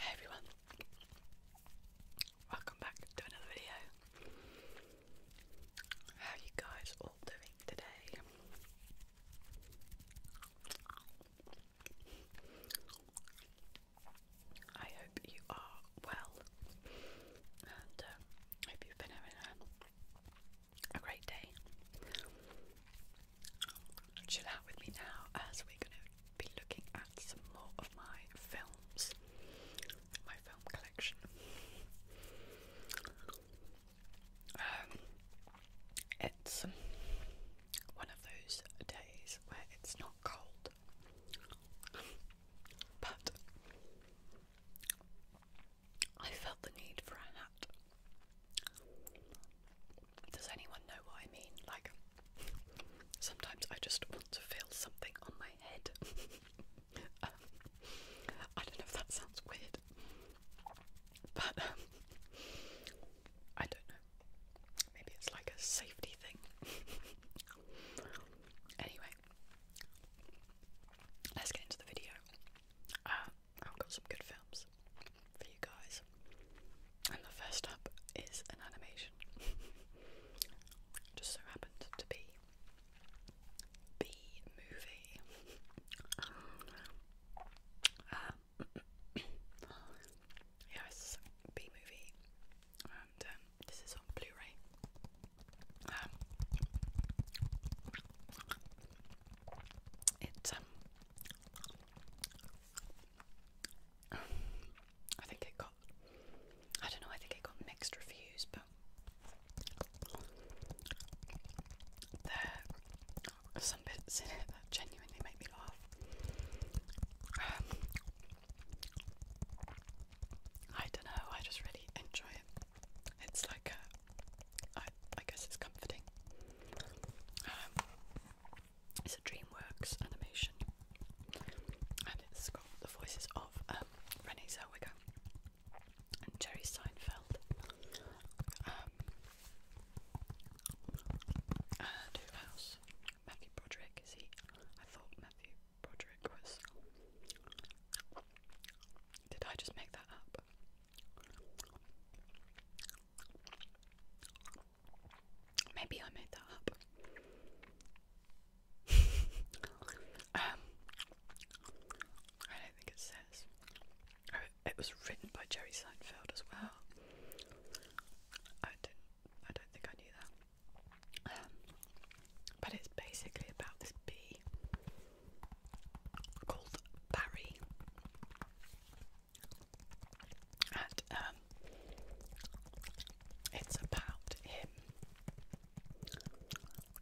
Hey everyone, welcome back to another video. How are you guys all doing today? I hope you are well and um, uh, you been having a a great day. Chill out with me now as we're going to be looking at some more of my films, my film collection. Um, it's one of those days where it's not cold, but I felt the need for a hat. Does anyone know what I mean? Like, sometimes I just want to feel something on my head. I don't know if that sounds weird, but um, I don't know. Maybe it's like a safety thing. anyway, let's get into the video. Uh, I've got some good films for you guys. And the first up is an animation. Just so happened to be B movie. um, B movie, and um, this is on Blu-ray. Um, it, um, I think it got, I don't know, I think it got mixed reviews, but there are some bits in it that genuinely make me laugh. Um, I don't know, I just really enjoy it. It's like a I, guess it's comforting. Um, it's a DreamWorks animation, and it's got the voices of um, Renee Zellweger and Jerry Seinfeld, um, and who else? Matthew Broderick is he? I thought Matthew Broderick was. Did I just make that up? Maybe I made that up. Um, I don't think it says. Oh, it was written by Jerry Seinfeld as well. I didn't. I don't think I knew that. Um, but it's basically about this bee called Barry and um, it's about him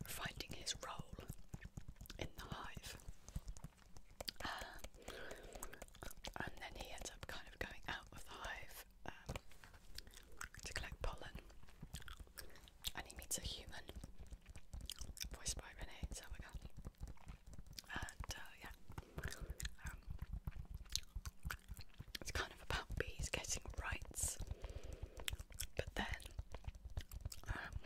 finding his role in the hive um, and then he ends up kind of going out of the hive um, to collect pollen and he meets a human voiced by Renee Zellweger. And uh, yeah, um, it's kind of about bees getting rights, but then um,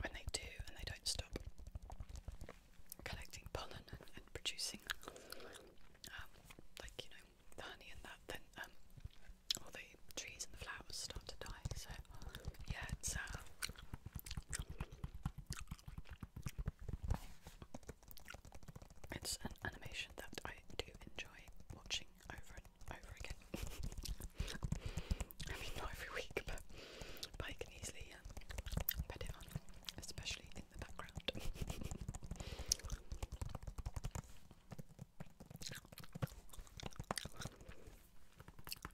when they do and they don't stop collecting pollen and, producing, um, like you know, the honey and that, then all the trees and the flowers start to die. So yeah, it's uh, it's an animation that I do enjoy watching over and over again. I mean, not every week, but I can easily um, put it on, especially in the background.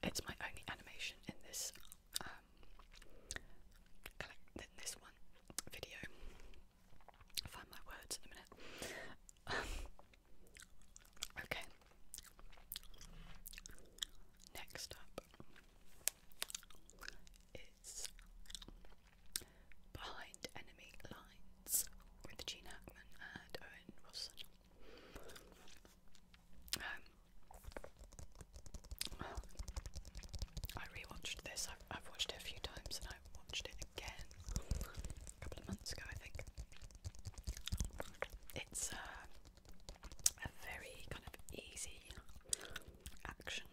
It's my only animation in this um, in this one video. find my words in a minute. okay. Next up is Behind Enemy Lines with Gene Hackman and Owen Wilson. Um, I rewatched this. I've, watched it a few times, and I watched it again a couple of months ago, I think. It's uh, a very kind of easy action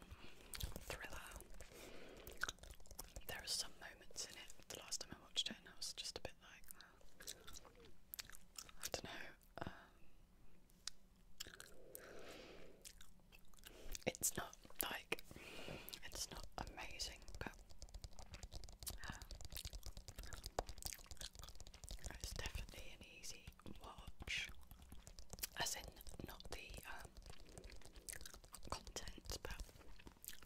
thriller. There are some moments in it. The last time I watched it, and I was just a bit like I don't know. Um, it's not like it's not amazing, but um, it's definitely an easy watch. As in, not the um, content, but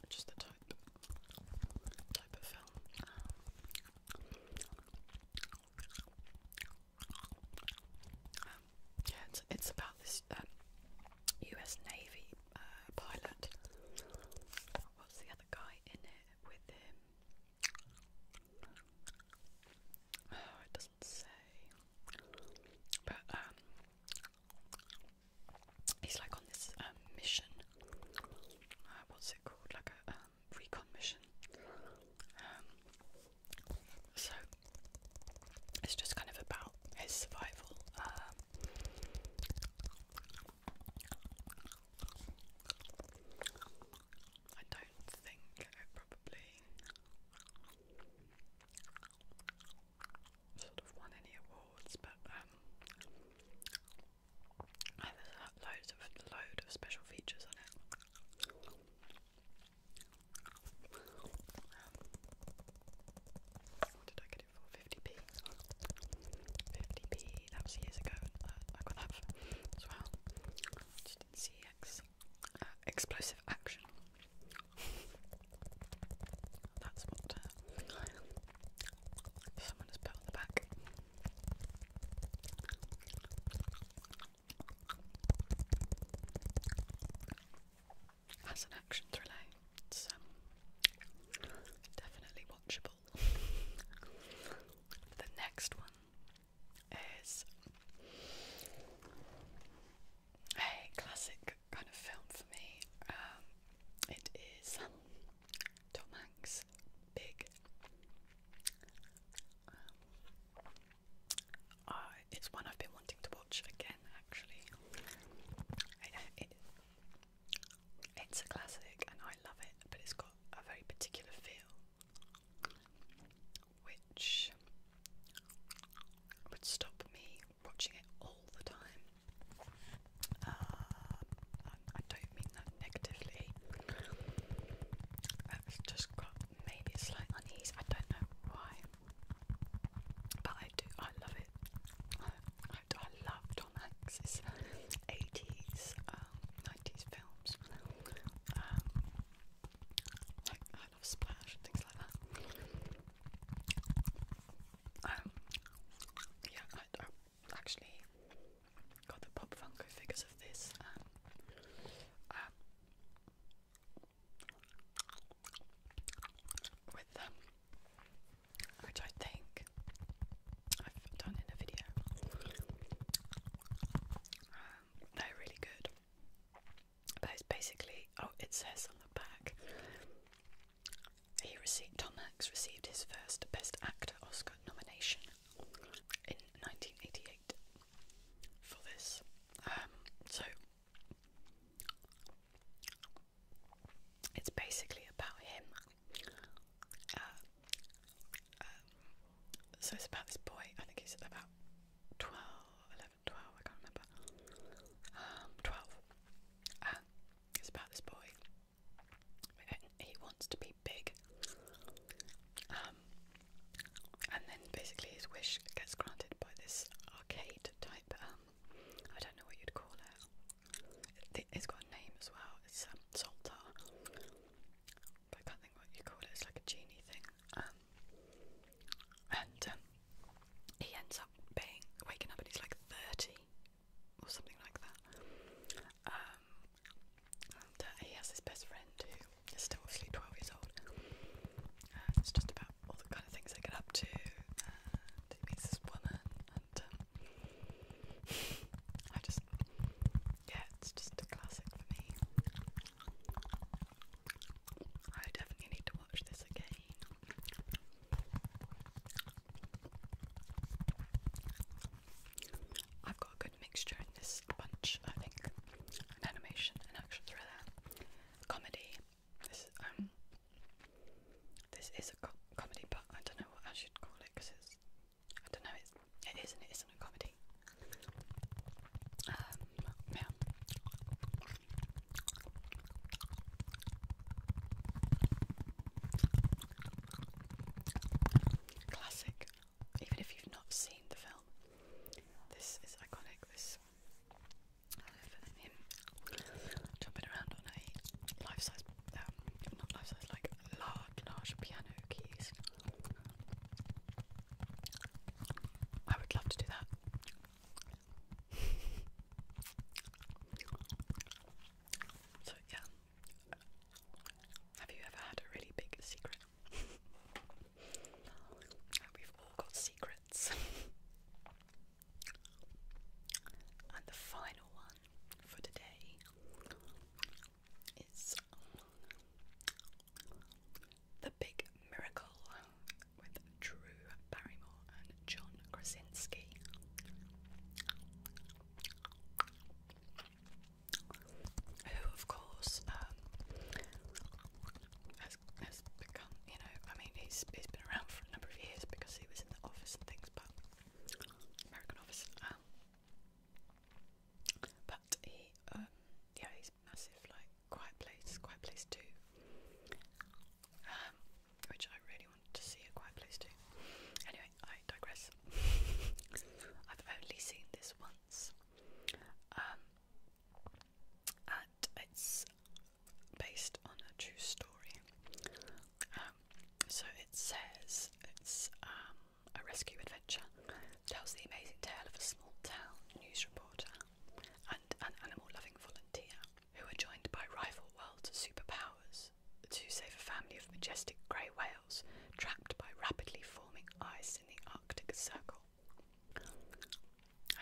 just the type type of film. yeah, it's, about this U.S. Um, Navy uh, pilot. What's the other guy in it with him? Oh, it doesn't say. But um, he's like on this um, mission. Uh, what's it called? Like a um, recon mission. Um, so it's just kind of about his survival. I don't think probably sort of won any awards, but um, I have loads of load of special features on it. Um, what did I get it for? 50p. 50p, that was years ago, and uh, got that as well. Just did CX. Uh, explosive action. That's what uh, Someone has put the back. As an action thriller, it's um, definitely watchable. the next one is a classic kind of film for me. Um, it is Tom Hanks, big. Um, it's one I've been wanting to watch again, actually. it's a classic and I love it, but it's got a very particular feel, which would stop me watching it all the time. Uh, I, don't mean that negatively. I've just got maybe slight unease. I don't know why, but I do. I love it. I, love Tom Hanks's eighties, um, nineties films. Um, like I love Splash and things like that. Um, yeah, I, I actually got the Pop Funko figures of this um, um, with them, which I think I've done in a video. Um, they're really good. But it's basically, oh, it says on the back he received Tom Hanks received his first Best Actor Oscar nomination in 1988 for this. Um, so it's basically about him. Uh, um, so it's about this boy. I think he's about 12, I can't remember. Um, 12. Uh, it's about this boy he wants to be big. Um, and then basically his wish gets granted by this arcade type, um, I don't know what you'd call it. It's got a name as well, it's um, Salta. I can't think what you call it, it's like a genie thing. and he ends up being, waking up and he's like 30 or something like that. Um, and uh, he has his best friend who is still obviously 12 years old. Uh, it's just about all the kind of things they get up to. And he meets this woman, and um, I just, yeah, it's just a classic for me. I definitely need to watch this again. I've got a good mixture in this bunch, I think. animation, and action thriller, comedy. This um, this is a comedy, but I don't know what I should call it because it's I don't know. It's, it isn't. It isn't a comedy. Um, yeah. Classic. Even if you've not seen the film, this is iconic. This him jumping around on a life-size, um, not life-size, like large, large piano keys. I would love to do that. So yeah, have you ever had a really big secret? We've all got secrets. and the final one for today is The Big Miracle with Drew Barrymore and John Krasinski who of course um, has, has become, you know, I mean he's, he's been around for a number of years because he was in the office and things, but American office. Um, but he, um, yeah, he's massive, like Quiet Place, Quiet Place 2. Um, which I really wanted to see quite close to. Anyway, I digress. I've only seen this once. Um, and it's based on a true story. Um, so it says it's um, a rescue adventure. Tells the amazing tale of a small town news reporter and an animal loving volunteer who are joined by rival world superpowers to save a family of majestic grey whales trapped by rapidly forming ice in the Arctic Circle.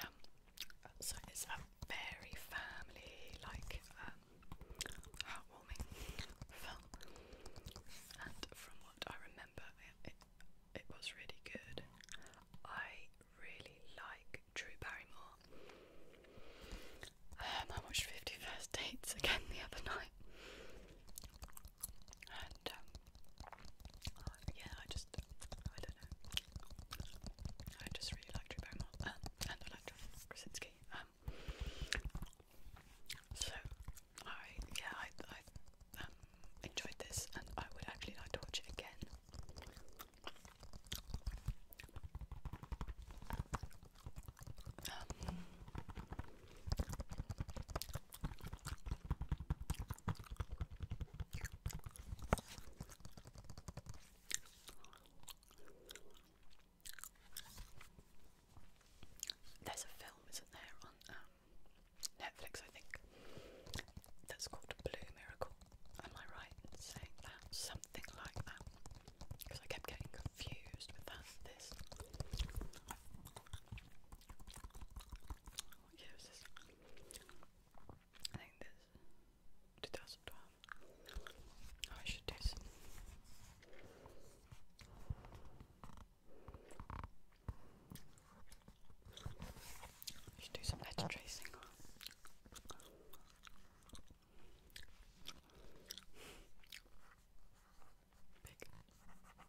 Um, so it's a very family-like, um, heartwarming film, and from what I remember, it was really good. I really like Drew Barrymore. Um, I watched Fifty First Dates again the other night, and um, uh, yeah, I just I don't know, I just really liked Drew Barrymore um, uh, and I liked Krasinski. Um, so I yeah I enjoyed this, and I would actually like to watch it again. There's a film, isn't there, on um, Netflix, I think, that's called Blue Miracle. Am I right in saying that? Something like that because I kept getting confused with that this. What year was this? I think this 2012. I should do some. I should do some letter tracing. Big M I R A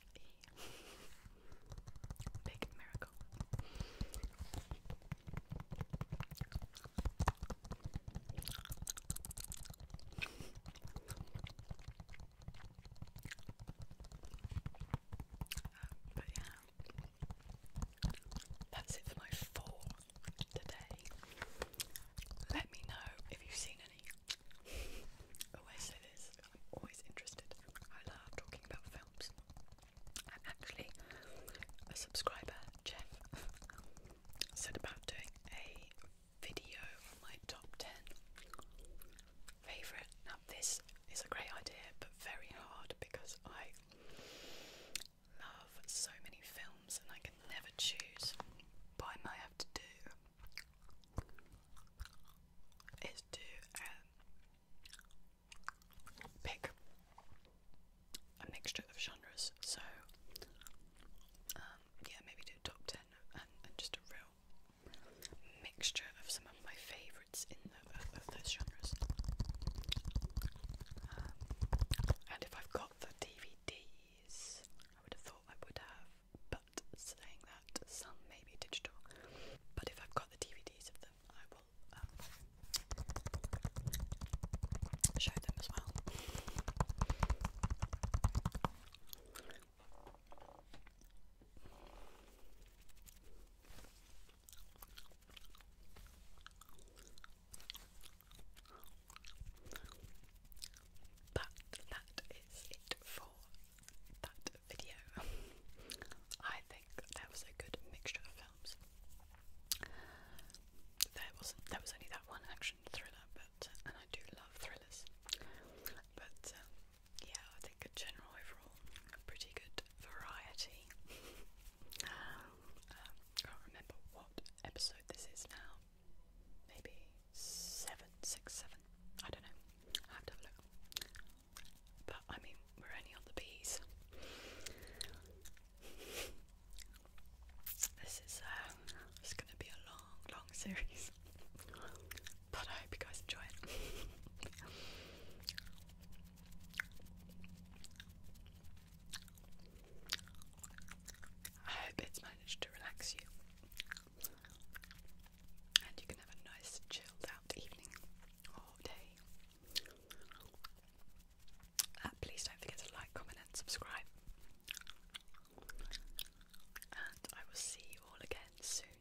C L E Big Miracle but yeah, that's it for my four today. Let me know if you've seen any. always I'm interested. I love talking about films. And actually, a subscriber, Jeff, said about doing a video on my top 10 favourite. Now this is a great idea but very hard because I love so many films and I can never choose. But I might have to do is to um, pick a mixture of genres. So um, yeah, maybe do top ten and, and just a real mixture of some of my favourites in the, uh, of those genres. Um, and if I've got the DVDs, I would have thought I would have. But saying that, some may be digital. But if I've got the DVDs of them, I will um, show them as well. But that is it for that video. I think that was a good mixture of films. There wasn't there was only that one action thriller, but and I do love thrillers. But um, yeah, I think a general overall pretty good variety. Um, um, can't remember what episode this is now. Maybe seven, six, seven. I don't know. have to look. But I mean, we're only on the bees. This is um, uh, it's going to be a long, long series. But I hope you guys enjoy it. I hope it's managed to relax you and you can have a nice chilled out evening or day. Uh, please don't forget to like, comment, and subscribe. And I will see you all again soon.